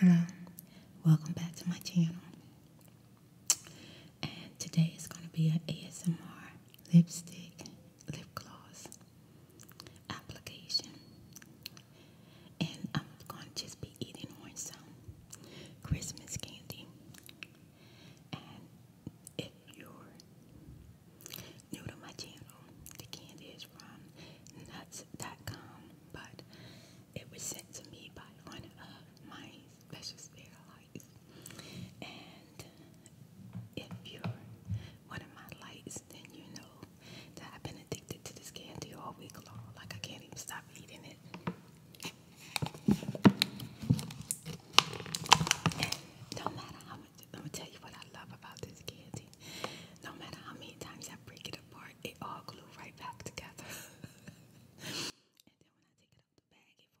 Hello, welcome back to my channel. And today is going to be an ASMR lipstick, lip gloss application. And I'm going to just be eating on some Christmas candy. And if you're new to my channel, the candy is from nuts.com, but it was sent to me by one of my special spirit and if you're one of my lights, then you know that I've been addicted to this candy all week long. Like I can't even stop eating it. And no matter how much, I'm to tell you what I love about this candy. No matter how many times I break it apart, it all glue right back together. and then when I take it out of the bag, falls apart again.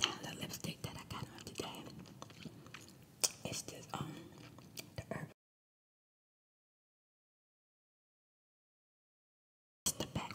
Now the lipstick that I got on today is this um the herb. It's the back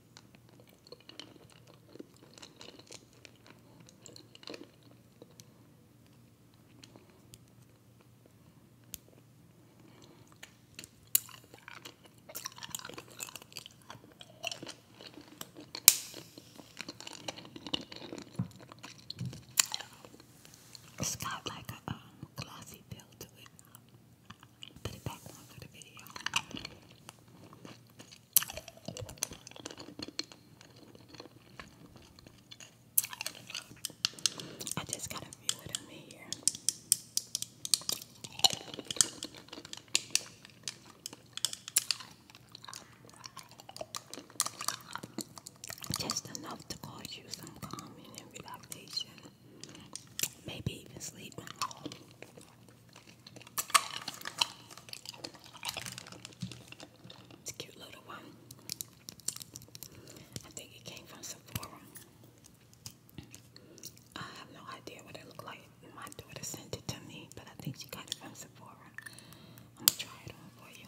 It's got like a um, glossy feel to it. Put it back on for the video. I just gotta feel it on me here. Just enough to cause you some calming and relaxation. Maybe even sleep. It's a cute little one. I think it came from Sephora. I have no idea what it looked like. My daughter sent it to me, but I think she got it from Sephora. I'm gonna try it on for you.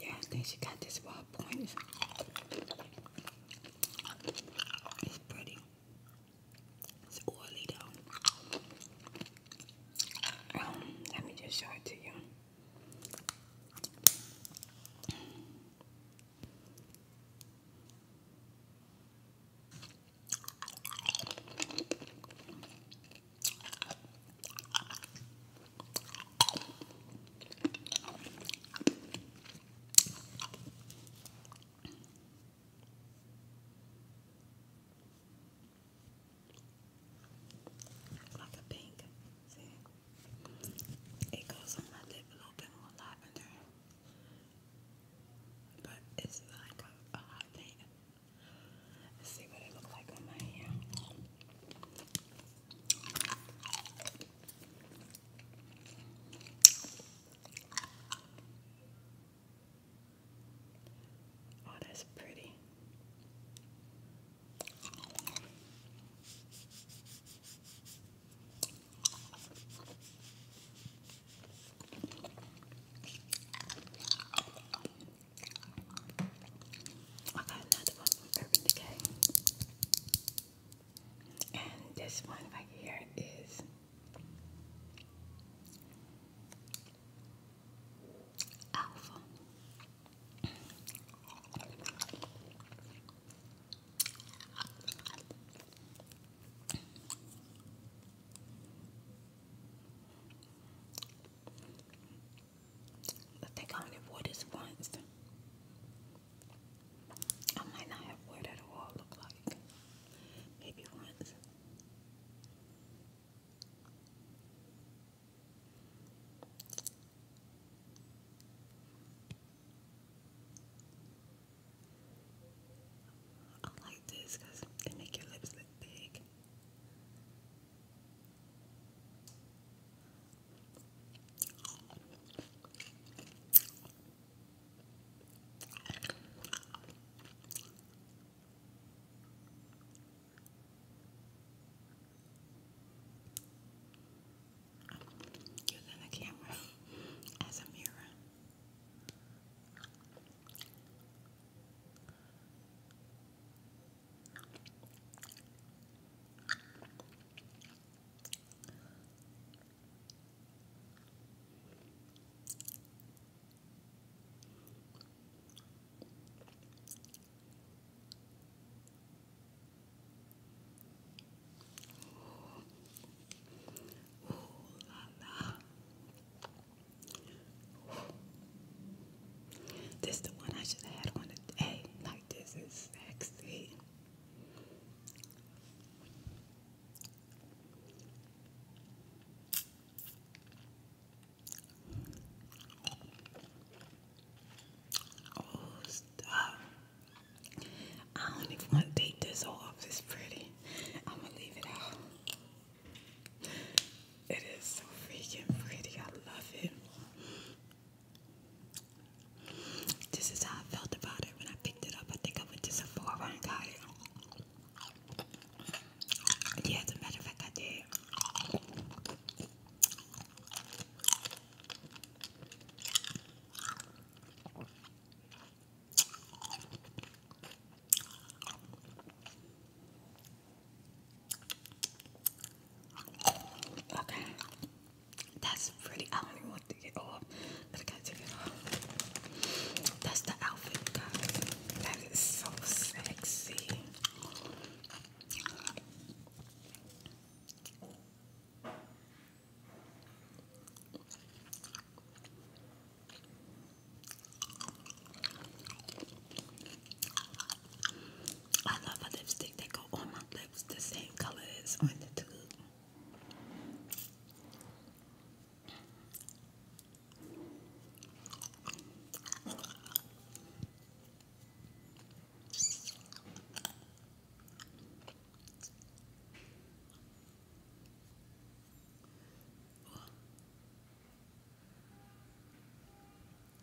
Yeah, I think she got this ball point. It's pretty. It's oily though. Um, let me just show it to you. Like a pink. See? It goes on my lip a little bit more lavender. But it's like a, hot pink. see what it looks like on my hand. Oh, that's pretty. I got another one from and this one right here is Alpha. I think I only wore this once. I might not have wore it all look like. Maybe once. I like this because it make your lips look big. Using the camera as a mirror. Ooh la la. This is the one I should have had on the day. Like this is sexy. Oh, stop. I don't even want to take this off. It's pretty. I'm going to leave it out. It is so freaking pretty. I love it. This is how I felt about it when I picked it up. I think I went to Sephora and got it. Yeah, as a matter of fact, I did. Okay. That's pretty. I only want to get off, but I gotta take it off. That's the outfit, guys. That is so sexy. I love a lipstick that go on my lips the same color as on the tube.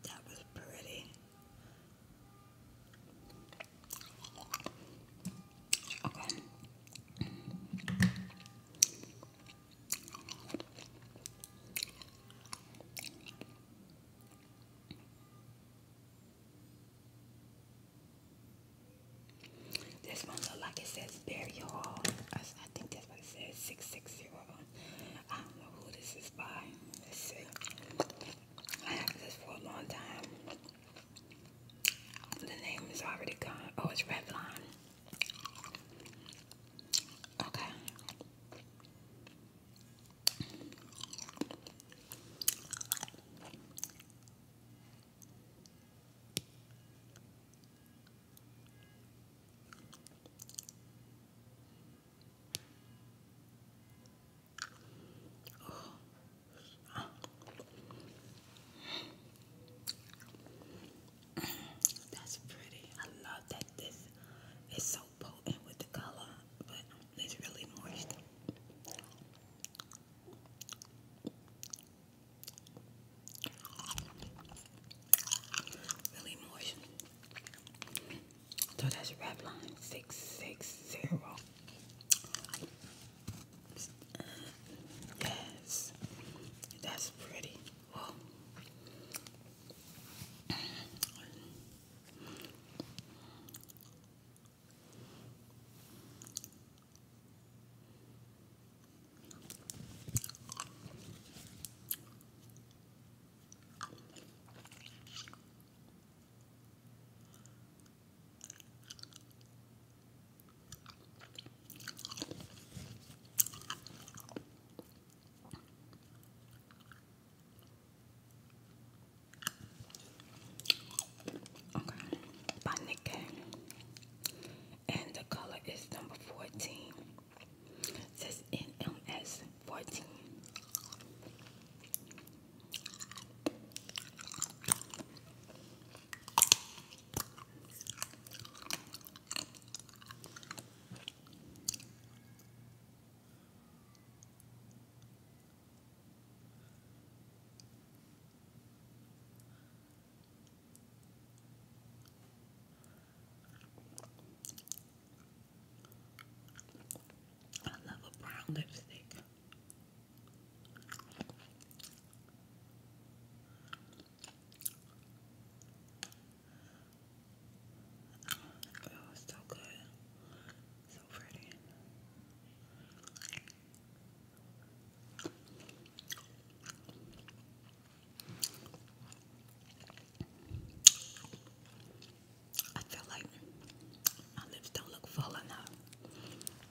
That was pretty. This one look like it says Barry hall. I, think that's what it says, 660. I don't know who this is by. I have this for a long time. The name is already gone. Oh, it's Revlon. Okay. Oh. That's pretty. I love that this is so potent with the color, but it's really moist. Really moist. So that's Revlon six six zero. Yes, that's pretty. Oh. Okay, by Nikkei, and the color is number 14. says NMS 14. I love a brown lipstick. Oh, it's so good. So pretty. I feel like my lips don't look full enough.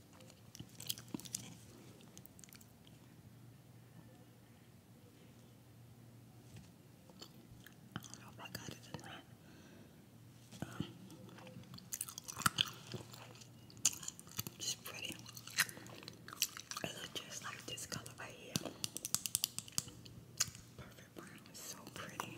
I do I got it or not. it's pretty. It looks just like this color right here. Perfect brown. It's so pretty.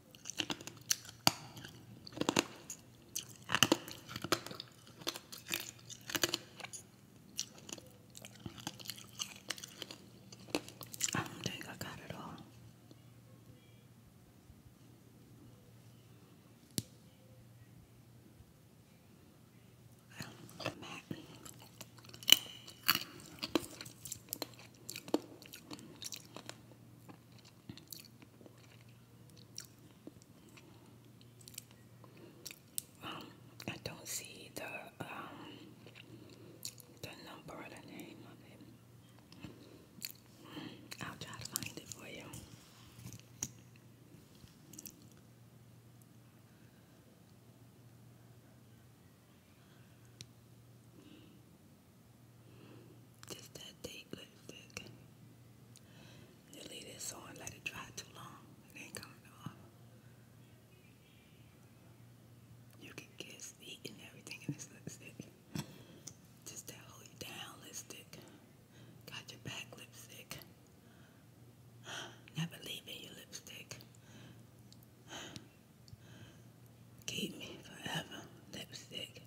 I don't think I got it all. Um, um, I don't see the um the number or the name of it. I'll try to find it for you. Just that date lipstick. You leave this on, let it dry too long. It ain't coming off. You can kiss, eat, everything in this lipstick. Just that hold down lipstick. Got your back lipstick. Never leaving your lipstick. Keep me forever lipstick.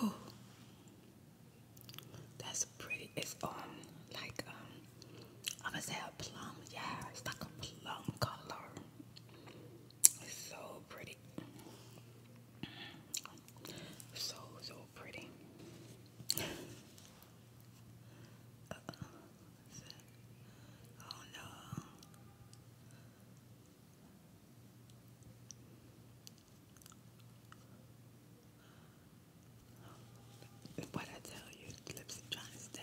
Oh, that's pretty. It's um like um I gonna say a plum. Yeah, it's like a plum color. It's so pretty. So so pretty. Uh, oh no. What I tell you, lips trying to stay.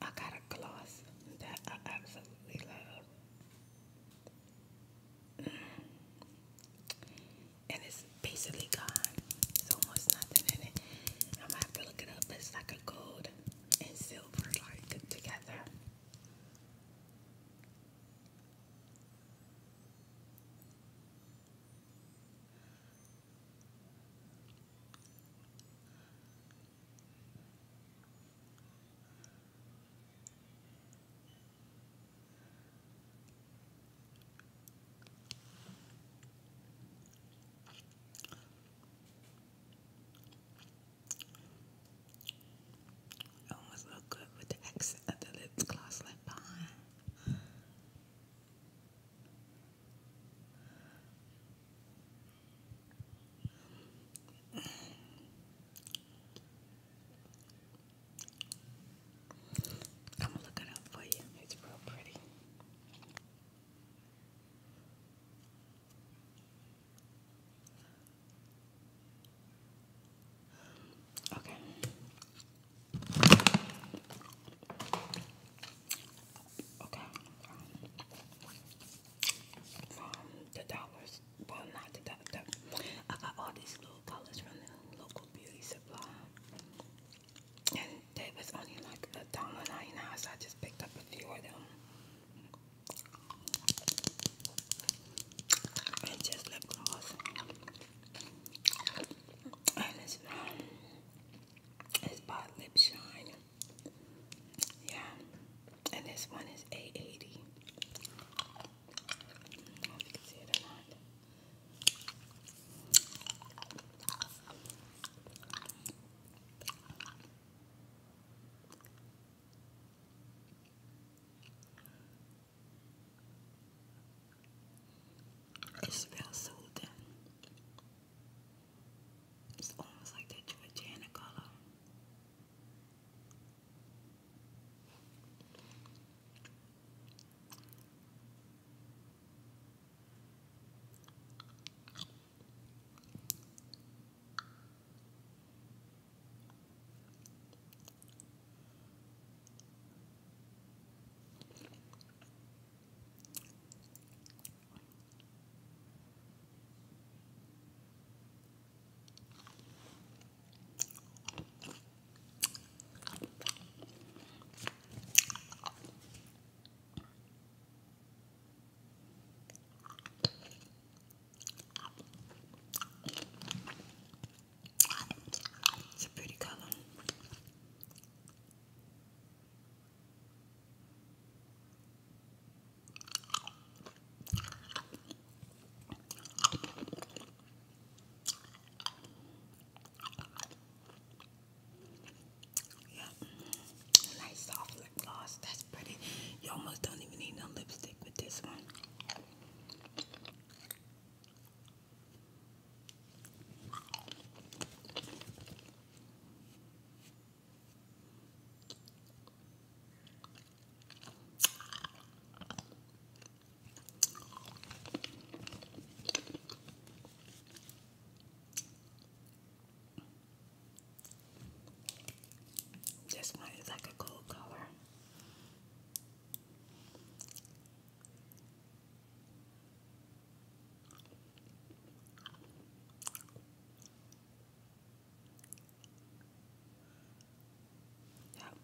I got a gloss that I absolutely love. And it's basically gone. It's almost nothing in it. I'm gonna have to look it up. It's like a gold and silver like together. It almost look good with the accent of the lip gloss left behind. I'm going up for you. It's real pretty. Okay. Okay. From the dollars. Well, not the dollar. I got all these little colors from the local beauty supply. And they was only like a dollar ninety nine, so I just picked up a few of them. And just lip gloss. And it's um, it's Lip Shine. Yeah, and this one is a eighty. it or not. It's it's almost like that Georgiana color. It's a pretty color. Yeah, nice soft lip gloss. That's pretty. You almost don't even need no lipstick with this one. This one is like a gold color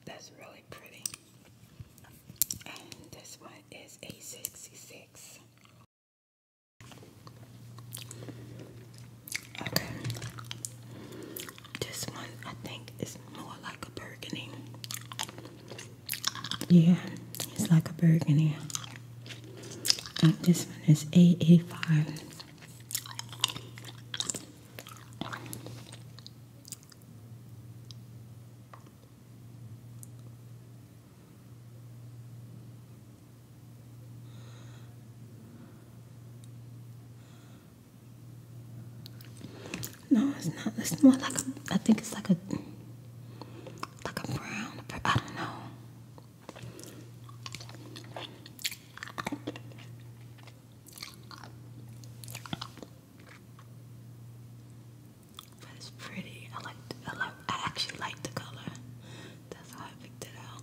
that's really pretty. And this one is a 66. Okay. This one I think is more like a burgundy. Yeah, it's like a burgundy. Uh, this one is A85. No, it's not. It's more like a, I think it's like a, like a brown, I don't know. But it's pretty. I like. I like. I actually like the color. That's how I picked it out.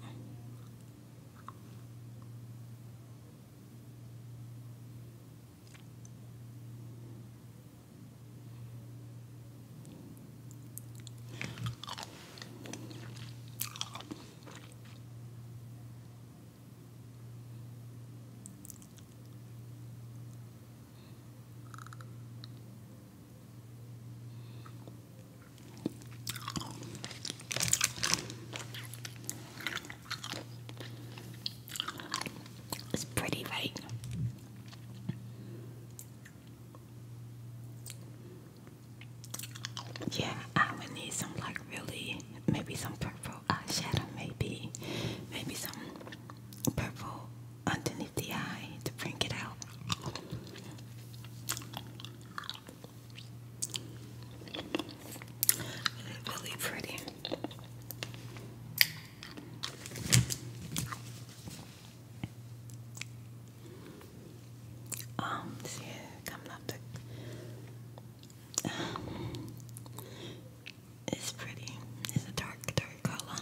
It's pretty, right? Yeah, I would need some like really maybe some purple eyeshadow, maybe maybe some purple underneath the eye to bring it out. really pretty. Um, see, coming up um, it's pretty. It's a dark, dark color.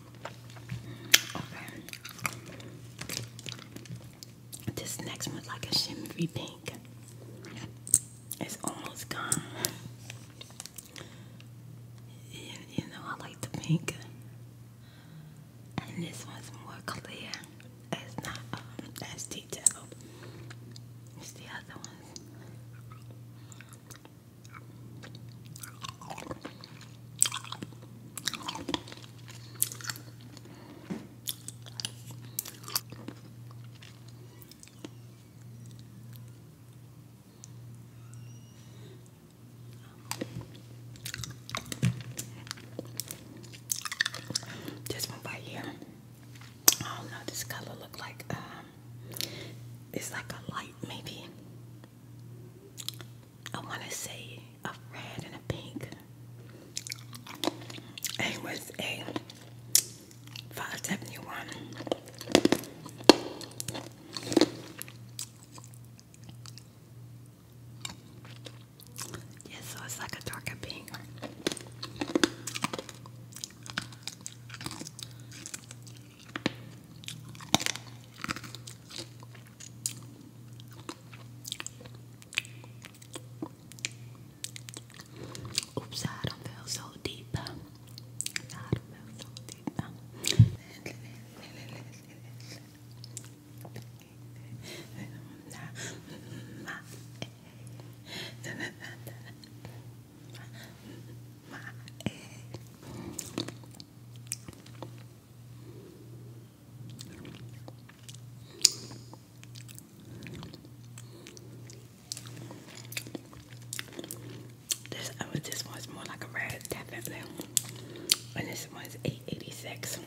This next one's like a shimmery pink. It's almost gone. You, know, I like the pink. And this one's more clear. It's not um, as detailed. It's the other one. This one right here. I don't know. This color look like um, it's like a light maybe. I want to say a red and a pink. It was a 571. Yeah, so it's like a darker pink. Oeps, daarom wel zo diep. Daarom wel zo diep. This uh, this one's more like a red, definitely, and this one's eight eighty six.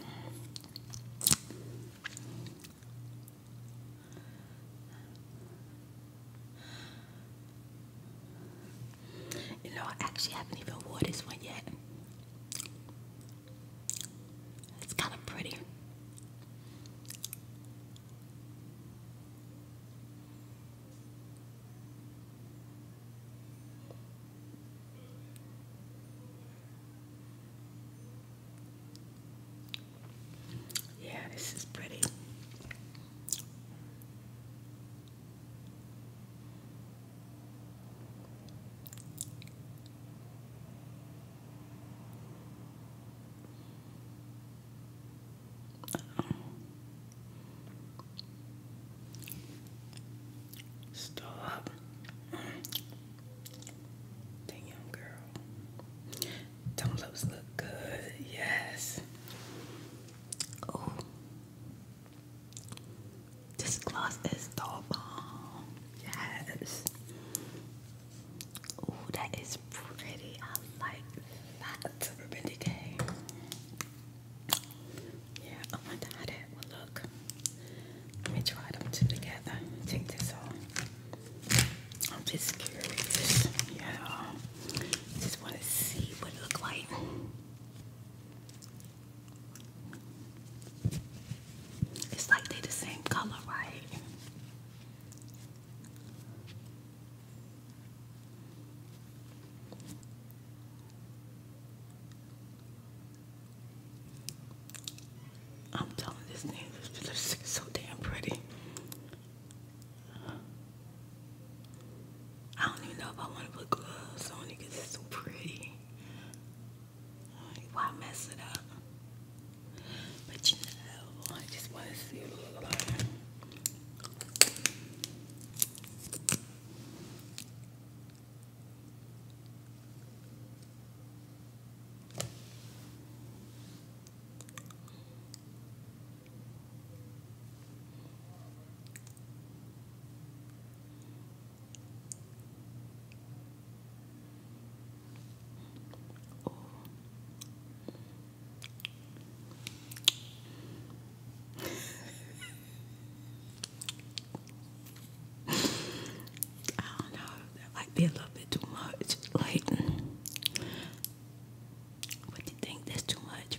You know, I actually haven't even wore this one yet. It's kind of pretty. Yeah, this is pretty. Stop. Damn, girl. do look good? Yes. Oh. This gloss is the Yes. Oh, that is pretty. I like that. Urban Decay. Yeah, oh I wonder how that will look. Let me try them two together. Take this off. I'm just curious. Yeah. Just want to see what it look like. It's like they the same color, right? I'm telling this name, this so damn pretty. I don't even know if I want to put gloves on because it's so pretty. Why mess it up? But you know, I just want to see what it look like. Oh. I don't know, that might be a little bit too much. Like, what do you think? That's too much.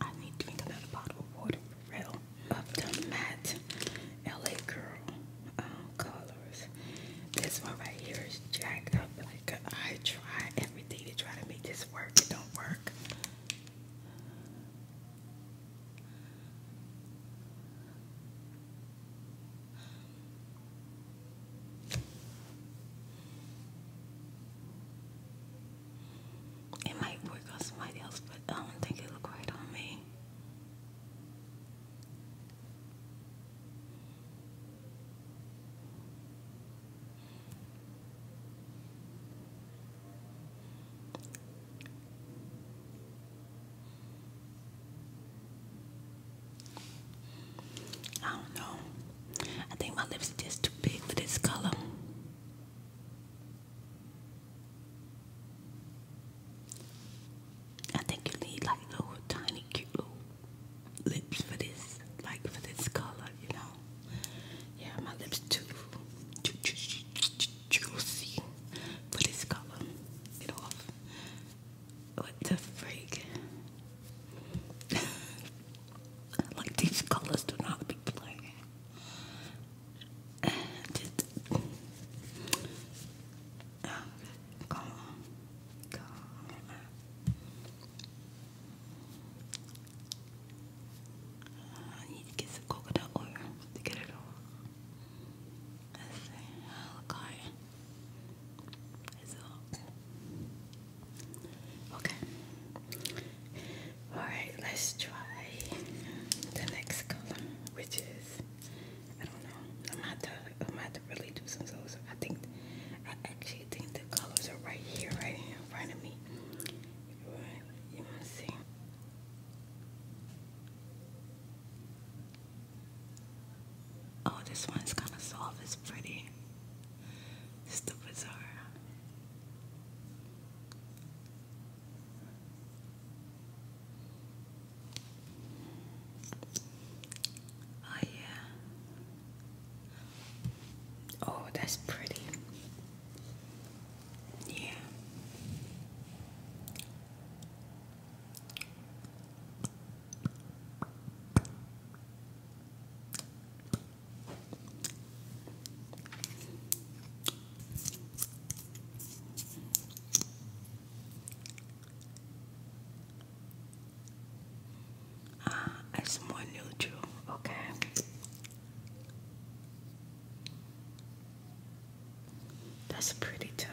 I need to drink another bottle of water for real. Up to matte LA Girl um, colors. This one right here is jacked up. Like I try everything to try to make this work. It don't work. It might work on somebody else, but I don't think it will work on me. I don't know. I think my lips are just too big for this color. I think you need like little tiny cute little lips for this, like for this color, you know. Yeah, my lips too ju ju ju ju juicy. But it's color. Get off. What the freak? like these colors do not be playing. Just uh, come on, come on. I need to get some coconut oil to get it off. Let's see. Oh, God. It's off. Okay. Alright, let's try the next color, which is, I don't know, I'm gonna have to, I'm gonna have to really do some so I think, I actually think the colors are right here, right here in front of me you want to see? Oh, this one's gonna solve this pretty. It's the bazaar. Oh yeah. Oh, that's pretty. Yeah. Ah, it's more neutral, okay. That's pretty too.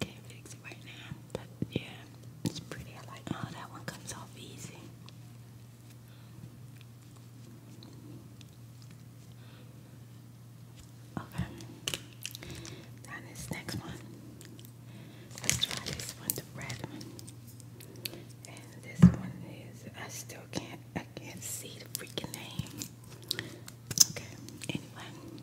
Can't fix it right now, but yeah, it's pretty. I like. Oh, that one comes off easy. Okay. Now this next one. Let's try this one, the red one. And this one is I still can't I can't see the freaking name. Okay, anyway.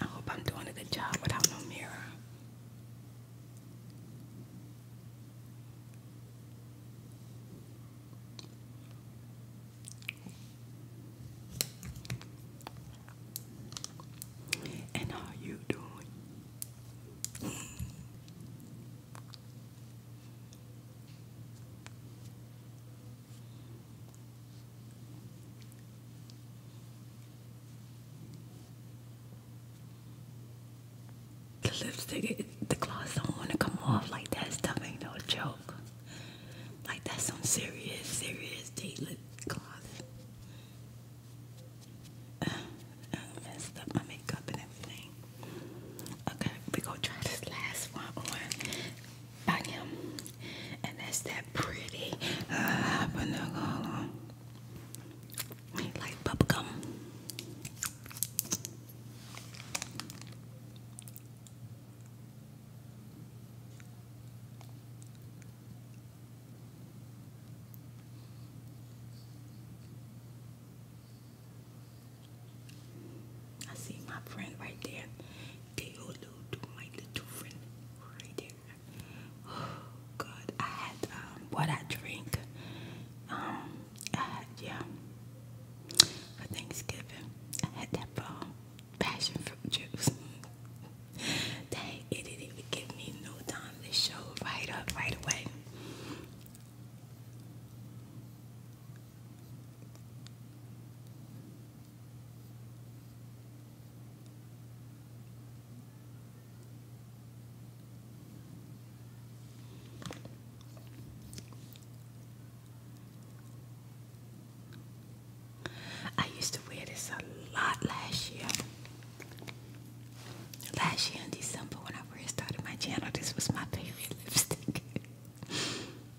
I hope I'm doing a good job without no mirror. And how you doing? The lipstick, the gloss don't want to come off like that. Stuff ain't no joke. Like that's some serious, serious date lip gloss. Uh, uh, messed up my makeup and everything. Okay, we going try this last one on by him. And that's that pretty uh, banana. like bubblegum. I see my friend right there. Deolu, my little friend right there. Oh I had um, what I drink. Um, I had, yeah, for Thanksgiving, I had that um, passion fruit juice. Dang, it didn't give me no time to show right up right away. I used to wear this a lot last year. Last year in December when I first started my channel, this was my favorite lipstick.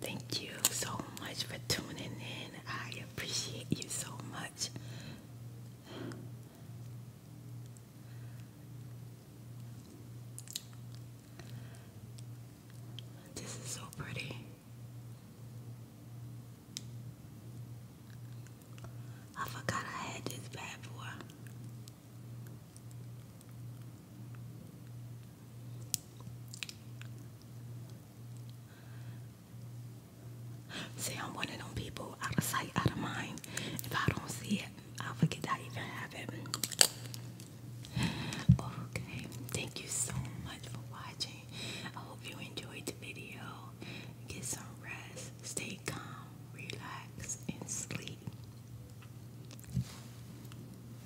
Thank you so much for tuning in. I appreciate you so much. This is so pretty. I forgot I had this bad boy. See, I'm one of them people out of sight, out of mind. If I don't see it, i forget I even have it. Okay, thank you so much for watching. I hope you enjoyed the video. Get some rest, stay calm, relax, and sleep.